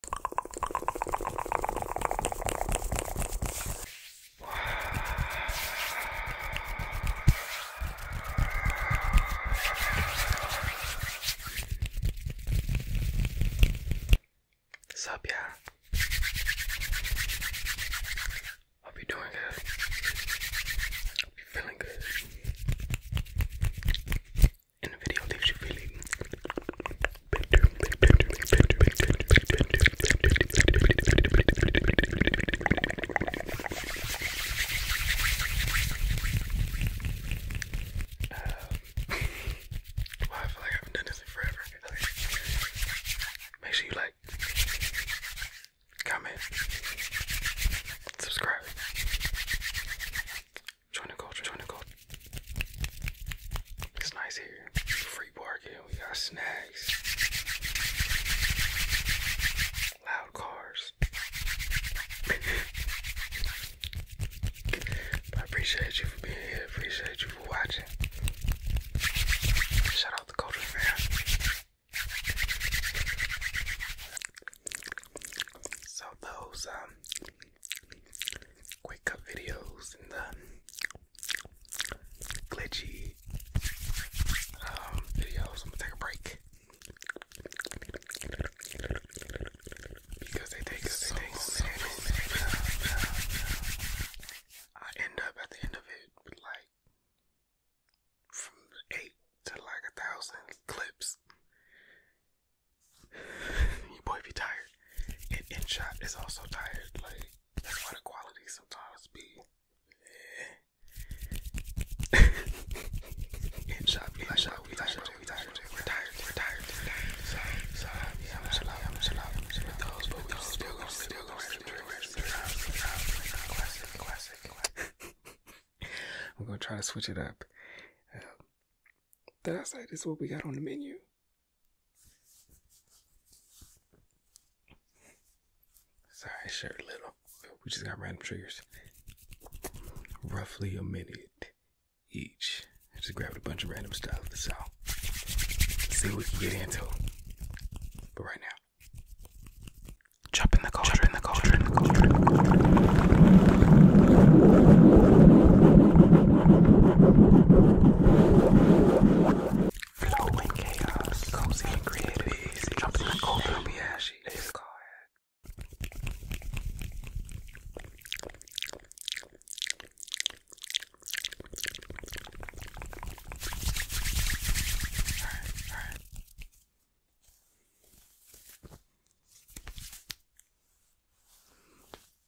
What's up, y'all? Hope you're doing good. Hope you're feeling good and the video leaves you feeling better, um, I feel like haven't done this in forever. Make sure you like, comment, subscribe. Join the culture, join the culture. It's nice here. Free parking, we got snacks. Loud cars. I appreciate you for being here. Appreciate you for watching. Shout out the culture, man. So those um quick cut videos and the um, glitchy um, videos. I'm gonna take a break because they take so, they I end up at the end of it like from eight to like a thousand clips. Your boy be tired. And in shot is also tired. Like that's why the quality sometimes be. Yeah. in shot be like, shot be like, we tired, we're tired, we're tired, we're tired. So, so yeah, I'm chill out, I'm chill out, I'm chill out. Those, but we still gonna, still gonna, still gonna, classic, classic, classic. I'm gonna try to switch it up. Um, did I say this is what we got on the menu? Sorry, sure, little. We just got random triggers. Roughly a minute each. just grabbed a bunch of random stuff, so see what we can get into. But right now, jump the cauldron, Flowing chaos, cozy and creative, jumping the cold and be ashy. It's Alright, alright.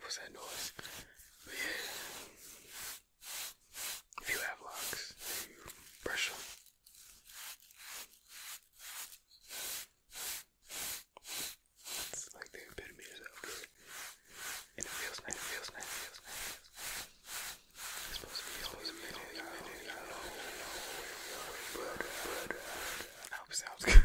What's that noise? But yeah. If you have locks, you brush them. It's like the epitome of self care. And it feels nice, it feels nice, it feels nice. It's supposed to be, it's supposed to be, I don't know, I don't know where we are, but, but, I hope it sounds good.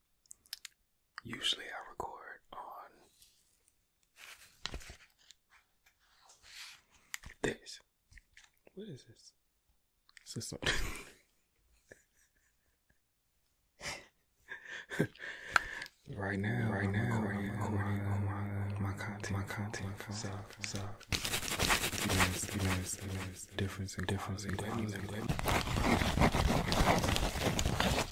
usually I record on this. What is this? Is this something? right now, right now, recording, right now, on my, my, content, my content, myself, myself. You know, you know, you know, difference, the difference, and difference, and difference, and difference.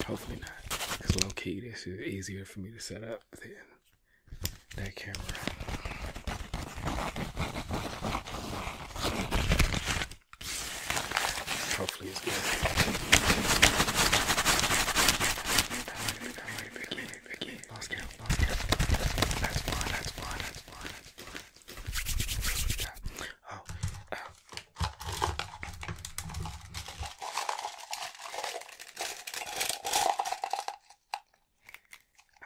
Hopefully not, because low key this is easier for me to set up than that camera. Hopefully it's good. Oh, uh,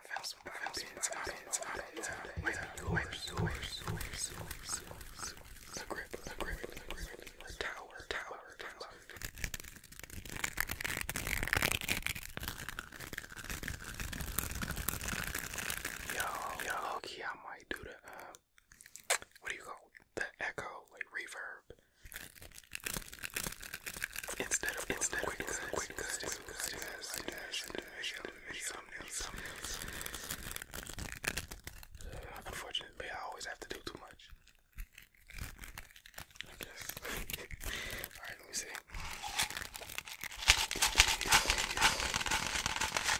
found some pine pins. I don't know what they are. Might be yours. Yours. Yours. Yours. Yours. The grip. The grip. The grip. The tower. Tower. Tower. Yo, yo, okay, I might do the um what do you call the echo, like reverb? Instead of instead of quick, quick, Unfortunately, I always have to do too much. I guess. Alright, let me see.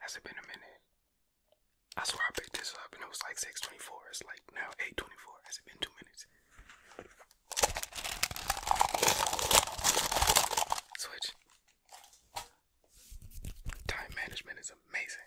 Has it been a minute? I swear I picked this up and it was like 624. It's like now 824. Has it been two minutes? Switch. Time management is amazing.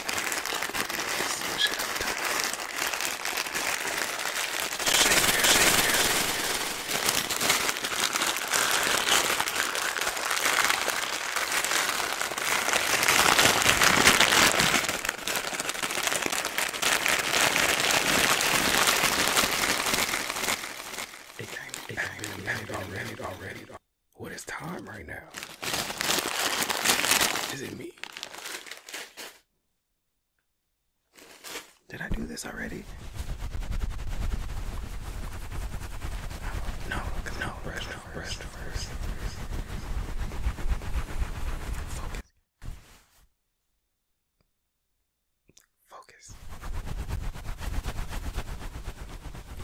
It came, it came, it came, it already, already. What is time right now? Is it me? Did I do this already? No, no, rest, first. Focus. Focus.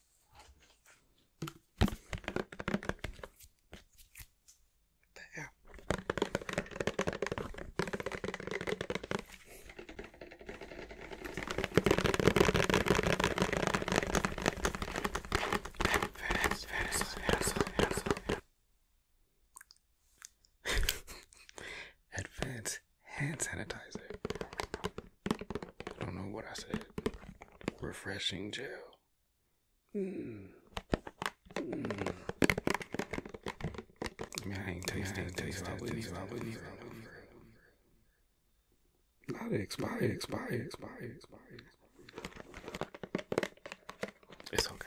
There. Advance hand sanitizer. I don't know what I said. Refreshing gel. Mm. Mm. I mean, I ain't tasting. I ain't tasting. I wouldn't even. I wouldn't even. Not expire. Expire. Expire. Expire. It's okay.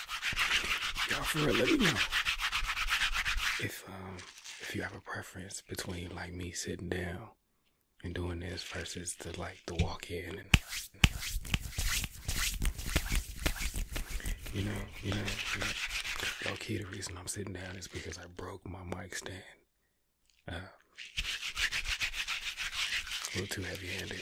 y'all for real, let me know if um if you have a preference between like me sitting down and doing this versus the like the walk in and you know, you know, you know. Low key, the reason I'm sitting down is because I broke my mic stand. Uh, a little too heavy handed.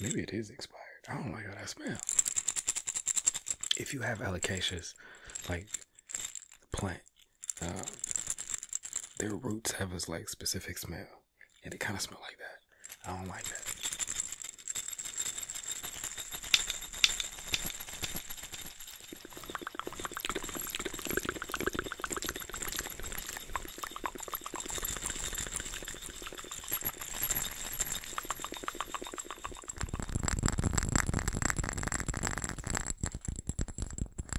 Maybe it is expired. I don't like how that smell. If you have alocasias, like the plant, uh, their roots have this like specific smell, and they kind of smell like that. I don't like that.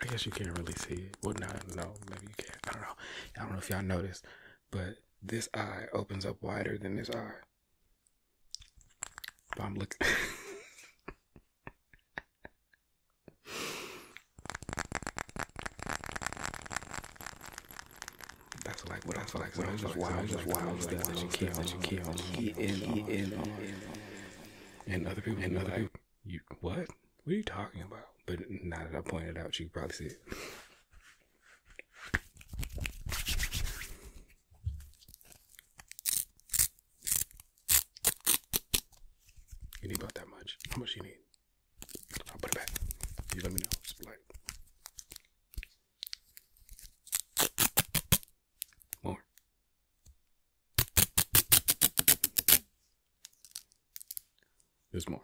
I guess you can't really see it. Well, no, no, maybe you can I don't know. I don't know if y'all noticed, but this eye opens up wider than this eye. But I'm looking. That's like what I feel like. What I feel like. It's just wild things that you kill, that you kill, get in on, and other people, and other people, you what? What are you talking about? But now that I pointed out, you probably see it. You need about that much. How much you need? I'll put it back. You let me know. more. There's more.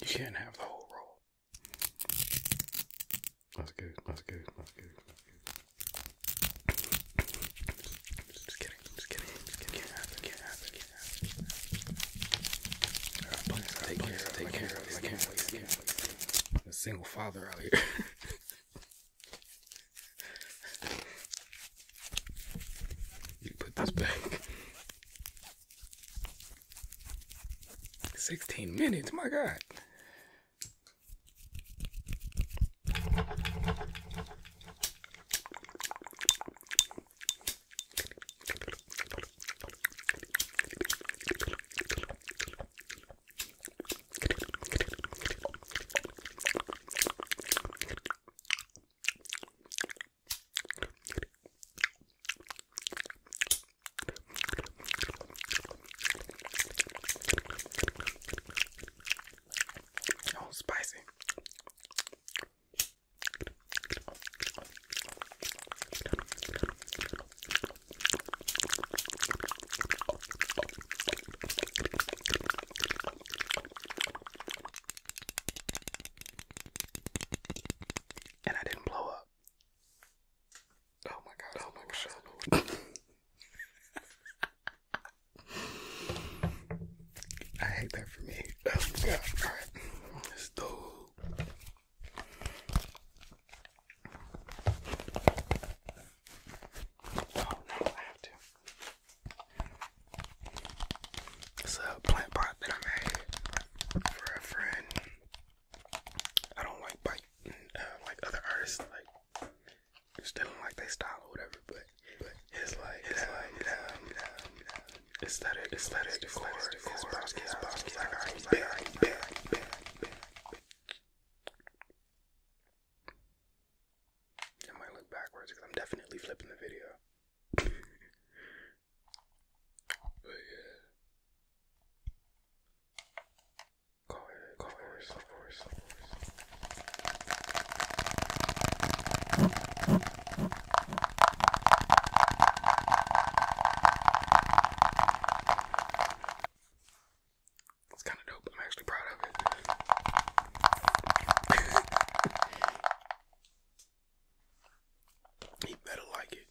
You can't have the whole roll. That's good, that's good, that's good, that's good. Just kidding, just kidding, just kidding. Can't happen, can't happen, can't happen. take care, take care, take care, take care. I'm a single father out here. you put this back. 16 minutes, my God. Oh, spicy. And I didn't blow up. Oh my god. Oh, oh my god. I hate that for me. Oh my god. Alright. This dude. Oh no, I have to. It's a plant pot that I made for a friend. I don't like bite uh, like other artists like just didn't like their style or whatever, but but it's like it's like aesthetic aesthetic decor is boss is boss like I bad bad bad bad. I might look backwards because I'm definitely flipping the video. but yeah. Colors, colors, colors, colors. It's kind of dope. I'm actually proud of it. he better like it.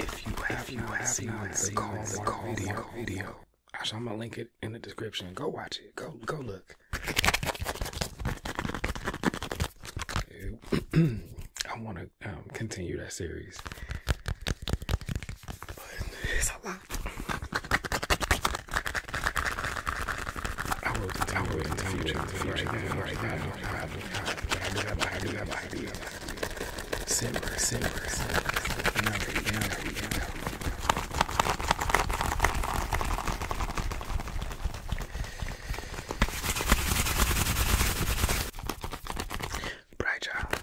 If you have, you have the call, the call video, video. I'm gonna link it in the description. Go watch it. Go, go look. I want to um, continue that series, but it's a lot. Simmer, simmer, simmer. Another, another, another. Bright job.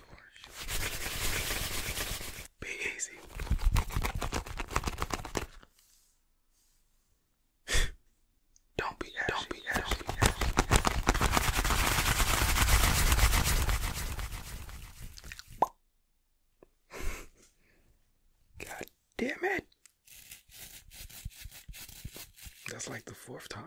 Be easy. Don't be ashy. God damn it. That's like the fourth time.